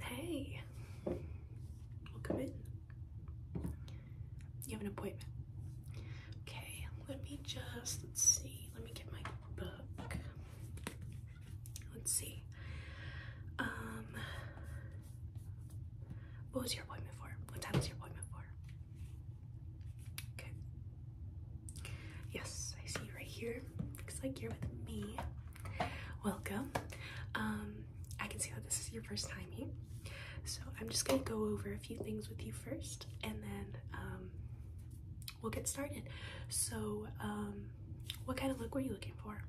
Hey, welcome in. You have an appointment. Okay, let me just, let's see, let me get my book. Let's see. Um, what was your appointment for? What time was your appointment for? Okay. Yes, I see you right here. Looks like you're with me. Welcome. Um, I can see that this is your first time here. So I'm just gonna go over a few things with you first and then um, we'll get started. So um, what kind of look were you looking for?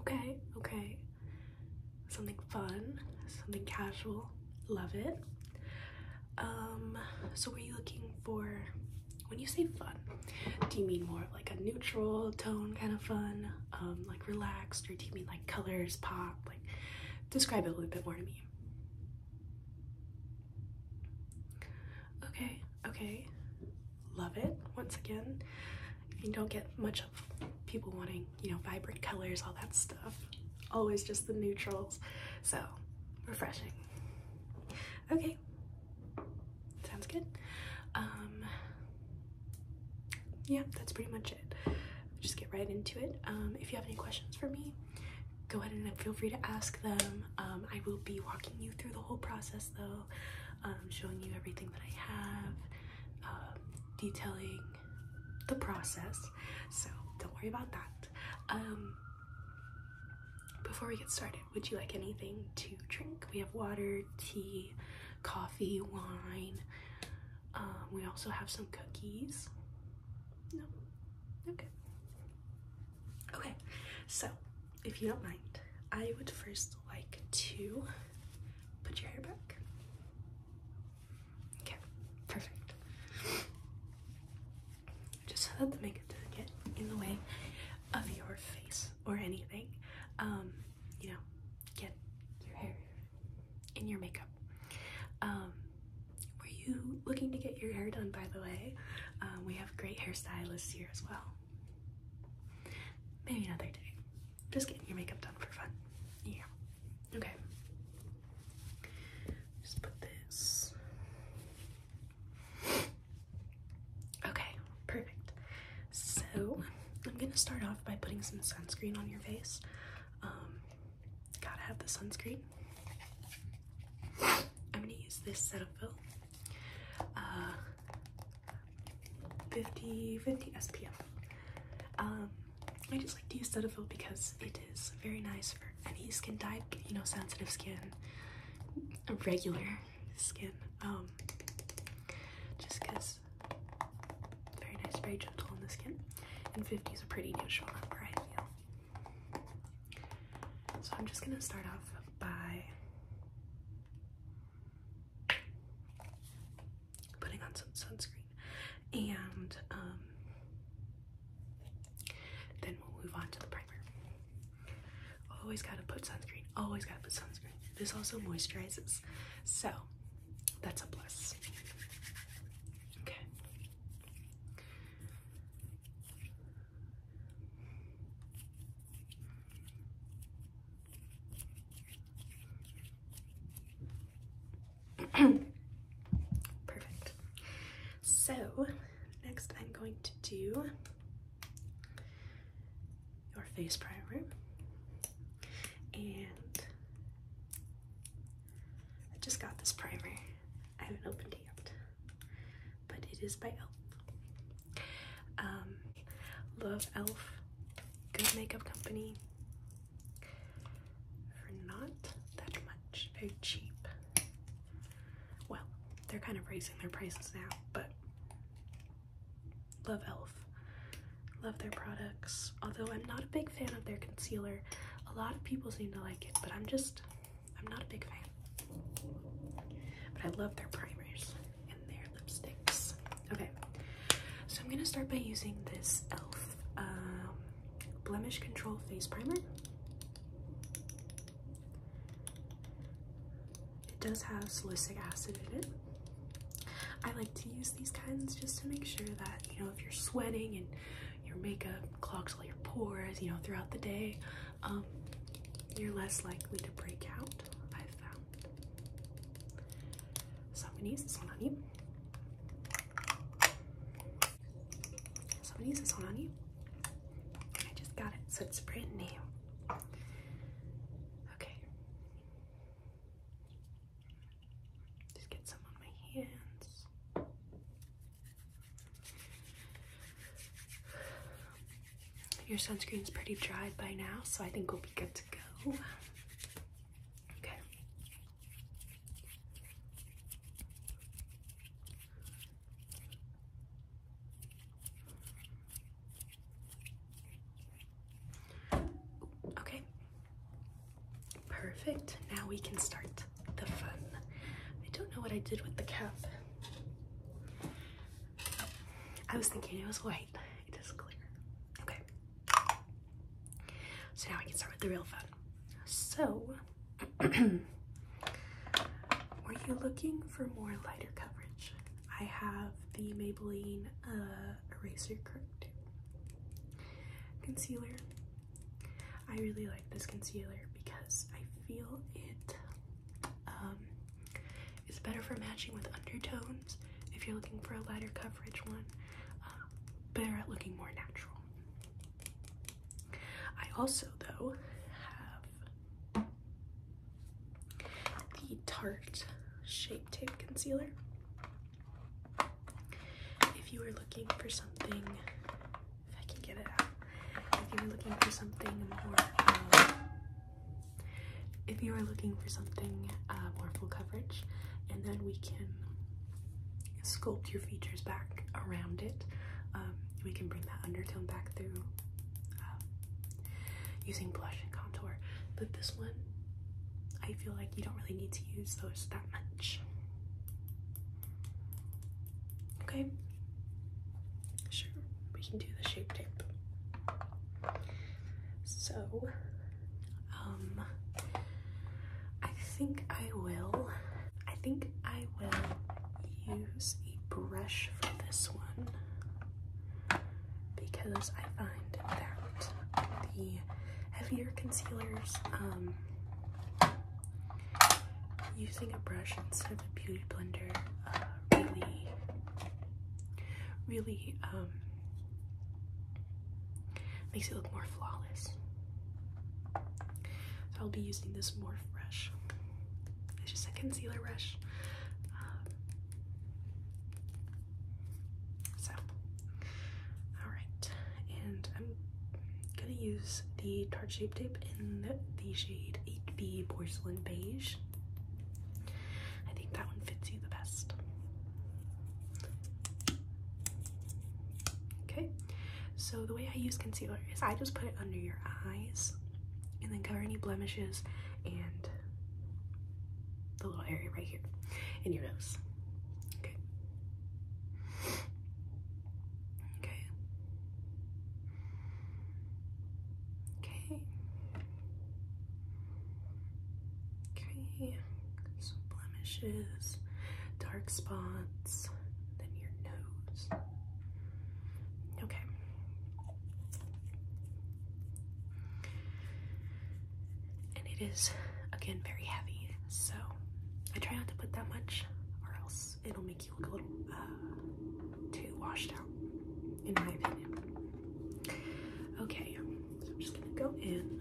Okay, okay. Something fun, something casual, love it. Um, so were you looking for, when you say fun, do you mean more of like a neutral tone kind of fun? Um, like relaxed, or do you mean like colors, pop? Like, describe it a little bit more to me. Okay, okay, love it. Once again, you don't get much of people wanting, you know, vibrant colors, all that stuff. Always just the neutrals. So, refreshing. Okay, sounds good. Um, yeah, that's pretty much it. just get right into it. Um, if you have any questions for me, go ahead and feel free to ask them. Um, I will be walking you through the whole process though, um, showing you everything that I have, detailing the process. So don't worry about that. before we get started, would you like anything to drink? We have water, tea, coffee, wine, um, we also have some cookies. No, okay. Okay, so if you don't mind, I would first like to put your hair back. Okay, perfect. Just so that the makeup doesn't get in the way of your face or anything. Um, you know, get your hair in your makeup. Um, were you looking to get your hair done, by the way? Um, we have great hairstylists here as well. Maybe another day. Just getting your makeup done for fun. Yeah. Okay. Just put this. Okay, perfect. So I'm gonna start off by putting some sunscreen on your face. Um, gotta have the sunscreen. I'm gonna use this Cetaphil uh, 50 50 SPF. Um, I just like to use Cetaphil because it is very nice for any skin type, you know, sensitive skin, regular skin. Um, just because very nice, very gentle on the skin. And 50 is a pretty neutral number, So I'm just gonna start off by putting on some sunscreen and um, then we'll move on to the primer. Always gotta put sunscreen, always gotta put sunscreen. This also moisturizes. So that's a plus. Okay. Perfect. So, next I'm going to do your face primer and I just got this primer. I haven't opened it yet, but it is by e.l.f. Um, love e.l.f. Good makeup company for not that much. Very cheap. Well, they're kind of raising their prices now, but Love e.l.f. Love their products. Although I'm not a big fan of their concealer. A lot of people seem to like it, but I'm just, I'm not a big fan. But I love their primers and their lipsticks. Okay, so I'm gonna start by using this e.l.f. Um, Blemish Control Face Primer. It does have salicylic acid in it. I like to use these kinds just to make sure that, you know, if you're sweating and your makeup clogs all your pores, you know, throughout the day, um, you're less likely to break out, I've found. So I'm gonna use this one on you. So I'm gonna use this one on you. I just got it, so it's brand new. Okay. Just get some on my hands. Your sunscreen's pretty dried by now, so I think we'll be good to go. Okay. Okay. Perfect. Now we can start the fun. I don't know what I did with the cap. I was thinking it was white. It is clear. Okay. So now we can start with the real fun. So, were you looking for more lighter coverage? I have the Maybelline uh, Eraser Correct. Concealer. I really like this concealer because I feel it um, is better for matching with undertones if you're looking for a lighter coverage one, um, better at looking more natural. I also, though, have the Tarte Shape Tape Concealer. If you are looking for something, if I can get it um, if you are looking for something more, if you are looking for something more full coverage, and then we can sculpt your features back around it. Um, we can bring that undertone back through um, using blush and contour. But this one. I feel like you don't really need to use those that much. Okay, sure, we can do the shape tape. So, um, I think I will, I think I will use a brush for this one because I find that the heavier concealers, um, using a brush instead of a beauty blender uh, really, really um, makes it look more flawless. So I'll be using this Morph brush. It's just a concealer brush. Um, so, alright, and I'm gonna use the Tarte Shape Tape in the shade 8B Porcelain Beige. I think that one fits you the best. Okay, so the way I use concealer is I just put it under your eyes and then cover any blemishes and the little area right here in your nose. Okay. Okay. Okay. Okay. Some blemishes, dark spots, then your nose. Okay and it is again very heavy so I try not to put that much or else it'll make you look a little uh, too washed out in my opinion okay so I'm just gonna go in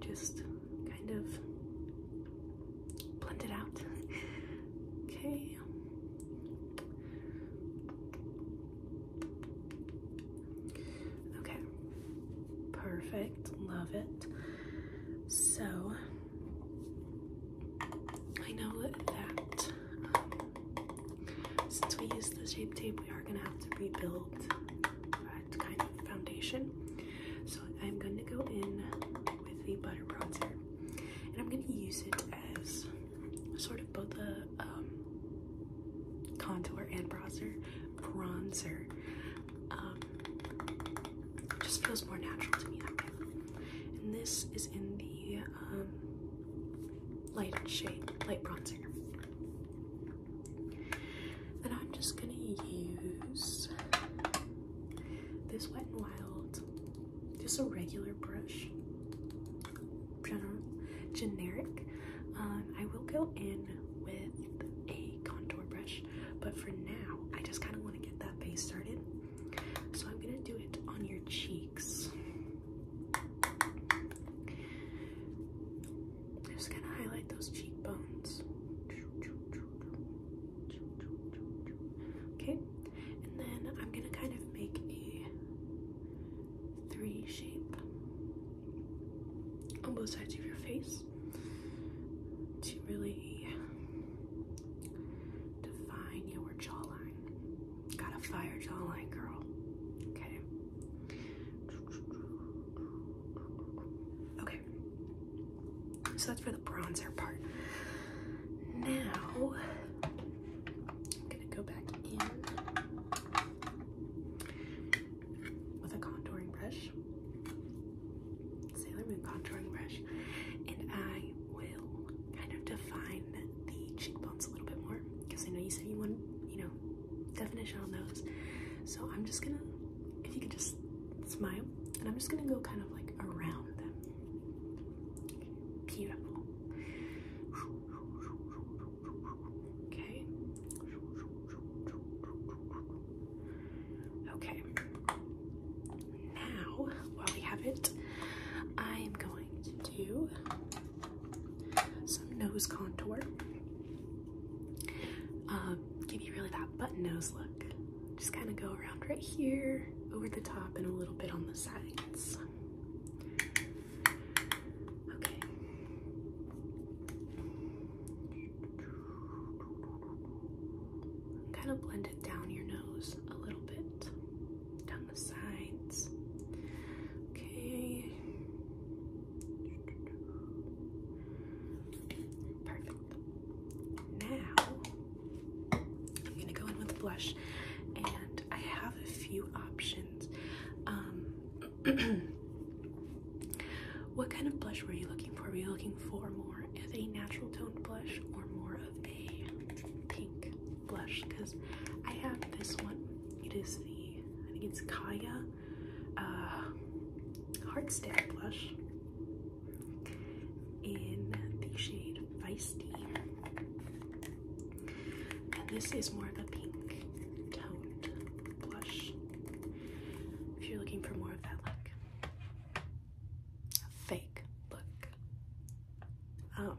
just kind of blend it out okay Okay, perfect. Love it. So, I know that um, since we used the shape tape, we are going to have to rebuild that kind of foundation. So, I'm going to go in with the butter bronzer and I'm going to use it as sort of both a um, contour and bronzer. Bronzer um, just feels more natural to me that way. And this is in the um, light shade, light bronzer. And I'm just gonna use this Wet n Wild, just a regular brush generic. Um, I will go in with a contour brush, but for now, I just kind of want to get that base started. So I'm going to do it on your cheeks. just going to highlight those cheekbones. Okay, and then I'm gonna kind of make a three shape on both sides of your face to really define your jawline. Got a fire jawline, girl. Okay. Okay. So that's for the bronzer part. Now I'm gonna go back in with a contouring brush, Sailor Moon contouring brush, and I will kind of define the cheekbones a little bit more because I know you said you want, you know, definition on those. So I'm just gonna, if you could just smile, and I'm just gonna go kind of like around them. Beautiful. Okay. Okay. Now, while we have it, I am going to do some nose contour. Um, give you really that button nose look. Just kind of go around right here, over the top, and a little bit on the sides. Okay. Kind of blend it down your nose a little bit, down the sides. Okay. Perfect. Now I'm gonna go in with blush I have a few options. Um, what kind of blush were you looking for? Were you looking for more of a natural toned blush or more of a pink blush? Because I have this one. It is the, I think it's Kaya uh, Blush in the shade Feisty. And this is more of a pink toned blush. If you're looking for more of that look, fake look. Um,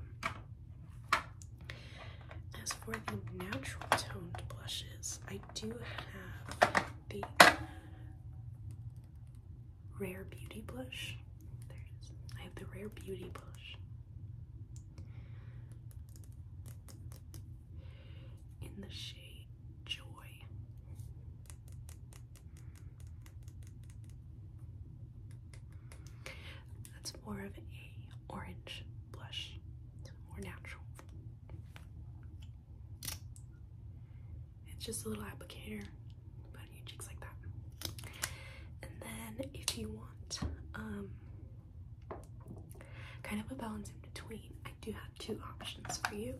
as for the natural toned blushes, I do have the Rare Beauty blush. There it is. I have the Rare Beauty blush in the shade Joy. That's more of a orange blush, more natural. It's just a little applicator, but on your cheeks like that. And then if you want um, kind of a balance in between, I do have two options for you.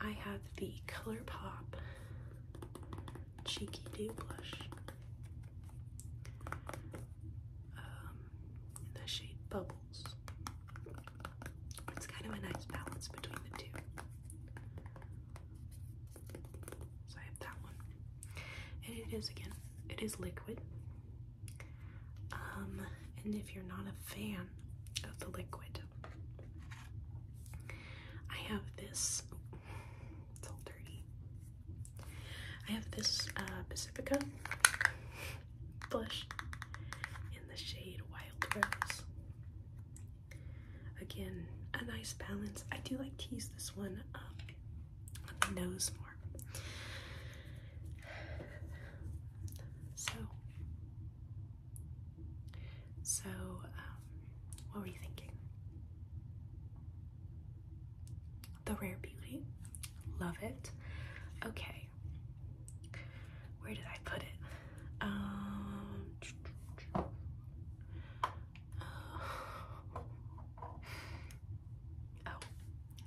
I have the Color Pop Cheeky Dew Blush in um, the shade Bubbles. It's kind of a nice balance between the two. So I have that one. And it is, again, it is liquid. Um, and if you're not a fan of the liquid, I have this. it's all dirty. I have this uh, Pacifica blush in the shade Wild Rose. Again, a nice balance. I do like to use this one um, on the nose more. So, so um, what were you thinking? The Rare Beauty, love it. Okay, where did I put it? Um, oh,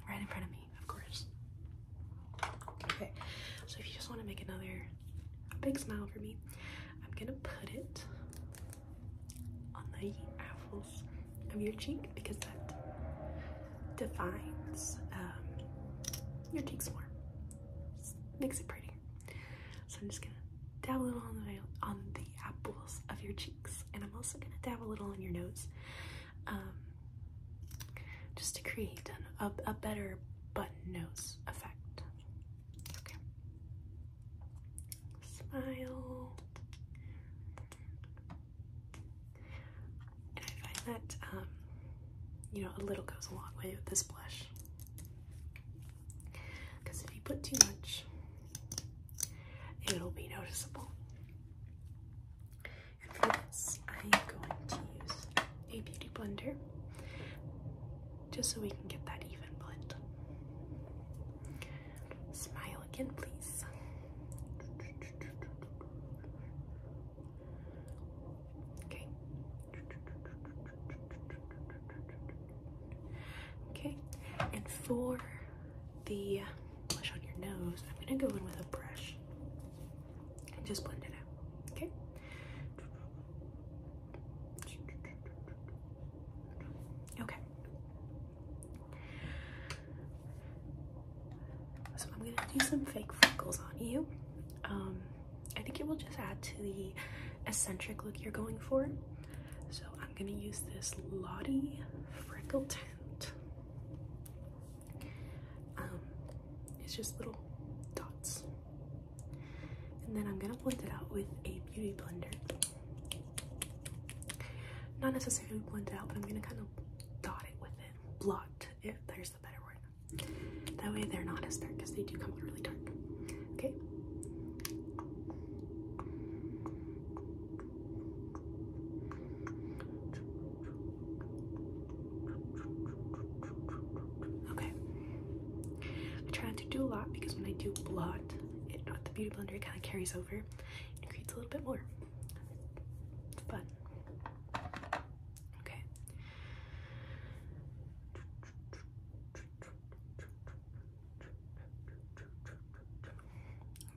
right in front of me, of course. Okay, so if you just want to make another big smile for me, I'm gonna put it on the apples of your cheek because that defines um, your cheeks more, makes it pretty. So I'm just gonna dab a little on the on the apples of your cheeks, and I'm also gonna dab a little on your nose, um, just to create a, a better button nose effect. Okay. Smile. I find that um, you know a little goes a long way with this blush, because if you put too much it'll be noticeable. And for this, I am going to use a beauty blender just so we can get that even blend. Smile again, please. Okay. Okay, and four the blush on your nose, I'm going to go in with a brush and just blend it out. Okay? Okay. So I'm going to do some fake freckles on you. Um, I think it will just add to the eccentric look you're going for. So I'm going to use this Lottie Freckle Tint. Um, it's just little dots. And then I'm going to blend it out with a beauty blender. Not necessarily blend it out, but I'm going to kind of dot it with it. Blot it. There's the better word. That way they're not as dark because they do come out really dark. Okay. Okay. I try not to do a lot because when I do blot it with the beauty blender, it kind of carries over and creates a little bit more. It's Okay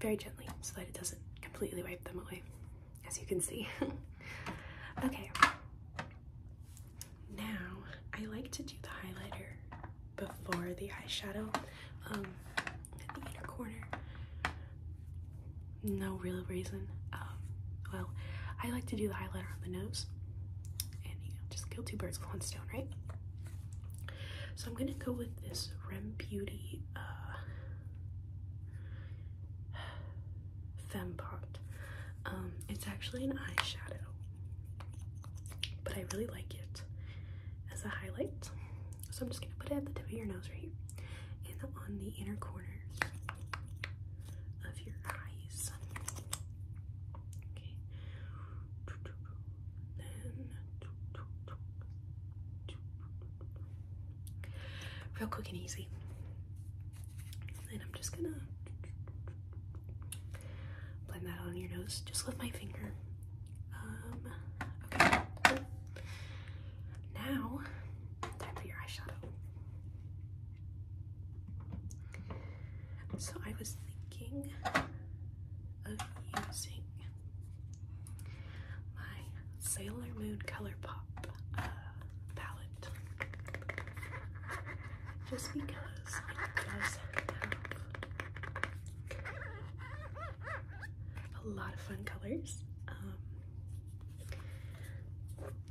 very gently so that it doesn't completely wipe them away, as you can see. okay, now I like to do the highlighter before the eyeshadow um, at the inner corner. No real reason. Um, well, I like to do the highlighter on the nose and you know, just kill two birds with one stone, right? So I'm gonna go with this Rem Beauty uh, Femme Pot. Um, it's actually an eyeshadow, but I really like it as a highlight. So I'm just gonna put it at the tip of your nose right here and on the inner corners of your eyes. Okay. Real quick and easy. And I'm just gonna blend that on your nose just with my finger. Um, okay. Now, time for your eyeshadow. So I was thinking of using my Sailor Moon Color Pop uh, palette. Just because I does have a lot of fun colors. Um,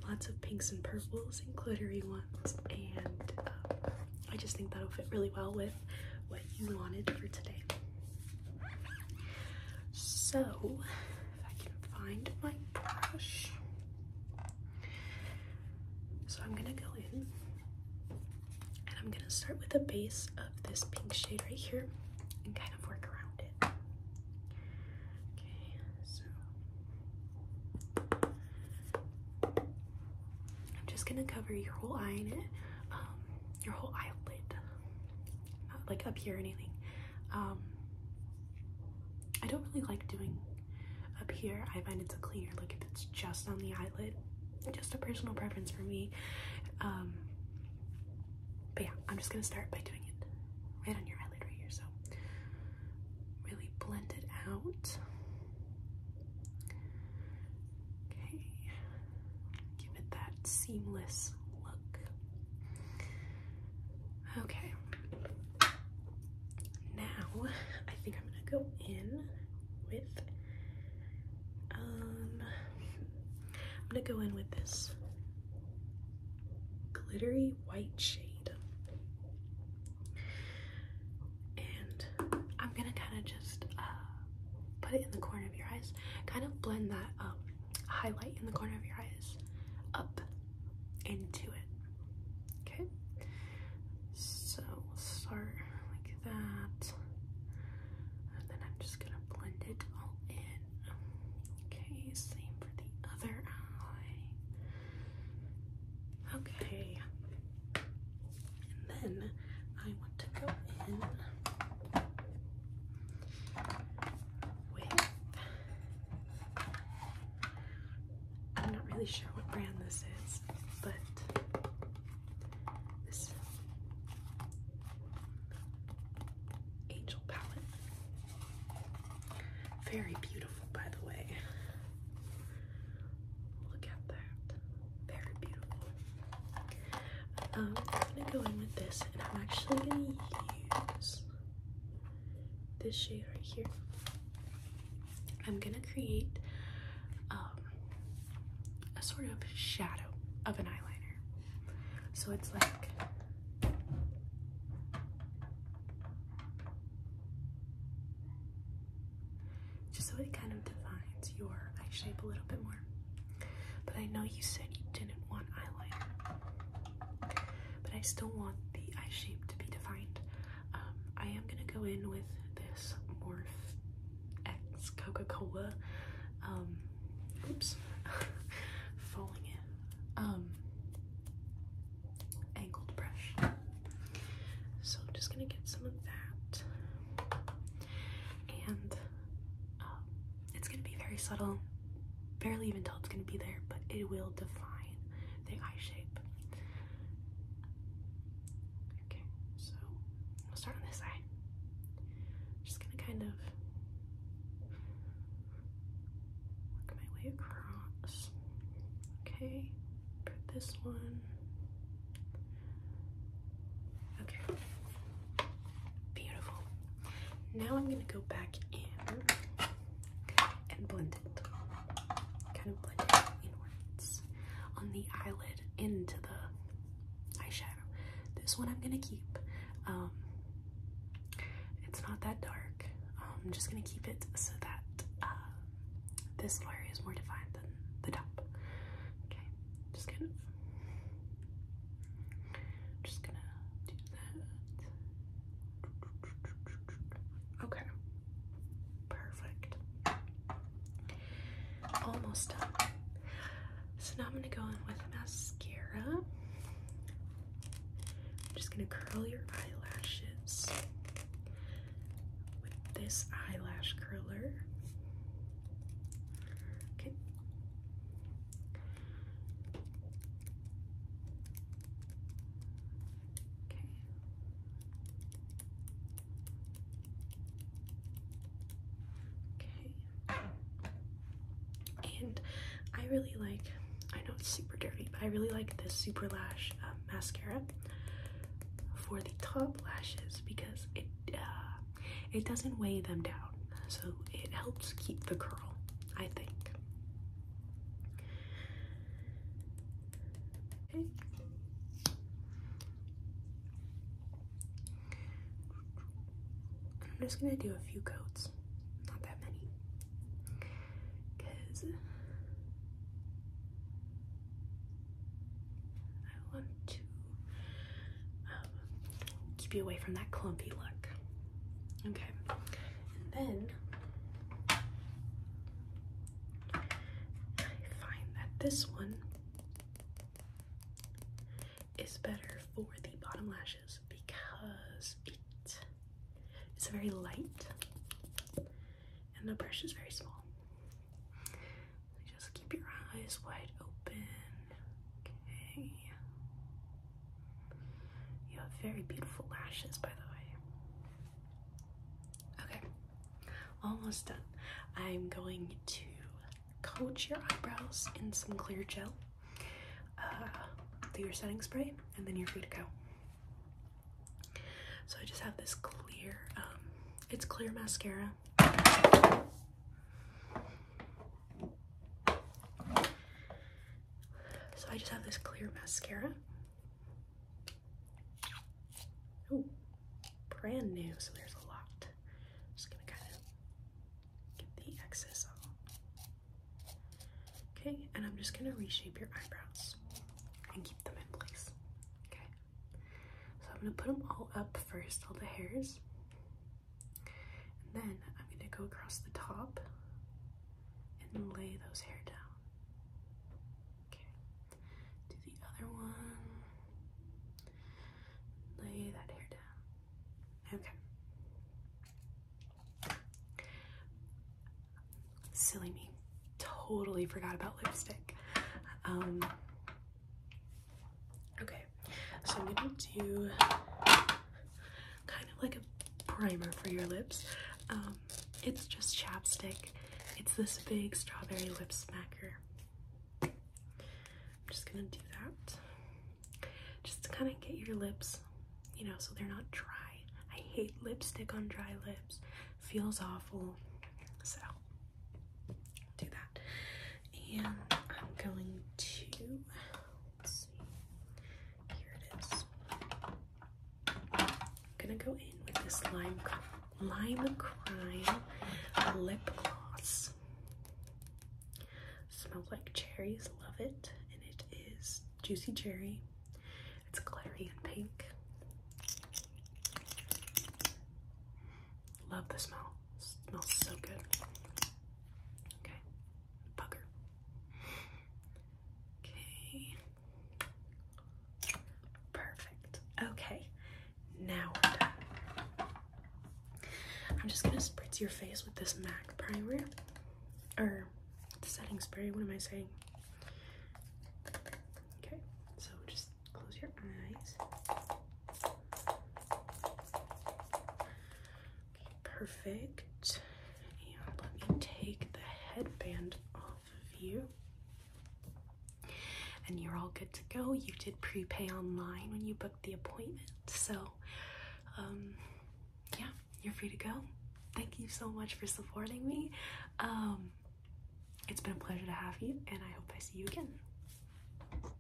lots of pinks and purples and glittery ones and um, I just think that'll fit really well with what you wanted for today. So, if I can find my brush. So I'm gonna go in and I'm gonna start with the base of this pink shade right here and kind of work around it. Okay, so I'm just gonna cover your whole eye in it. Um, your whole eyelid, not like up here or anything. Um, I don't really like doing up here. I find it's a cleaner look if it's just on the eyelid. Just a personal preference for me. Um, but yeah, I'm just gonna start by doing it right on your eyelid right here. So really blend it out. Okay, give it that seamless look. Okay, now I think I'm gonna go in with um I'm gonna go in with this glittery white shade and I'm gonna kind of just uh, put it in the corner of your eyes Kind of blend that um, highlight in the corner of your eyes up into it. Okay? So we'll start like that. And then I'm just gonna blend it all in. Okay, same for the other eye. Okay. Then I want to go in with I'm not really sure what brand this is, but this Angel palette. Very beautiful, by the way. Look at that. Very beautiful. Um, I'm gonna go in with this, and I'm actually gonna use this shade right here. I'm gonna create um, a sort of shadow of an eyeliner. So it's like just so it kind of defines your eye shape a little bit more. But I know you said you didn't want eyeliner, but I still want the eye shape to be defined. Um, I am gonna go in with this Morph X Coca-Cola. Um, oops, falling in. Um, angled brush. So I'm just gonna get some of that and um, it's gonna be very subtle. Barely even tell it's gonna be there, but it will define the eye shape. Okay, so we'll start on this eye. Just gonna kind of work my way across. Okay, put this one Okay. Beautiful. Now I'm going to go back in and blend it. Kind of blend inwards on the eyelid into the eyeshadow. This one I'm going to keep. Um, it's not that dark. Um, I'm just going to keep it so that uh, this area is more defined than the top. Okay, just kind of I'm just gonna do that. Okay. Perfect. Almost done. So now I'm gonna go in with mascara. I'm just gonna curl your eyelashes with this eyelash curler. Okay. Okay. Okay. And I really like, I know it's super dirty, but I really like this Super Lash uh, mascara for the top lashes because it uh, it doesn't weigh them down, so it helps keep the curl, I think. Okay. I'm just gonna do a few coats, not that many, because I want to um, keep you away from that clumpy look. Okay, and then I find that this one is better for the bottom lashes because it is very light and the brush is very small just keep your eyes wide open. Okay. You have very beautiful lashes, by the way. Okay, almost done. I'm going to coat your eyebrows in some clear gel uh, do your setting spray, and then you're free to go. So I just have this clear, um, it's clear mascara. So I just have this clear mascara. Oh, brand new, so there's a lot. just gonna kind of get the excess off. Okay, and I'm just gonna reshape your eyebrows and keep them in place. Okay, so I'm gonna put them all up first, all the hairs. And then I'm going to go across the top and lay those hair down. Okay. Do the other one. Lay that hair down. Okay. Silly me. Totally forgot about lipstick. Um, Okay, so I'm gonna do kind of like a primer for your lips. Um, it's just chapstick. It's this big strawberry lip smacker. I'm just gonna do that. Just to kind of get your lips, you know, so they're not dry. I hate lipstick on dry lips. Feels awful. So do that. And I'm going to, here its I'm gonna go in with this Lime, Lime Crime lip gloss. Smells like cherries, love it. And it is Juicy Cherry. It's glittery and pink. Love the smell. smells so good. Okay. Bugger. Okay. Perfect. Okay. Now we're done. I'm just gonna spritz your face with this MAC primer. Or setting spray, what am I saying? Okay, so just close your eyes perfect. And let me take the headband off of you. And you're all good to go. You did prepay online when you booked the appointment. So, um, yeah, you're free to go. Thank you so much for supporting me. Um, it's been a pleasure to have you, and I hope I see you again.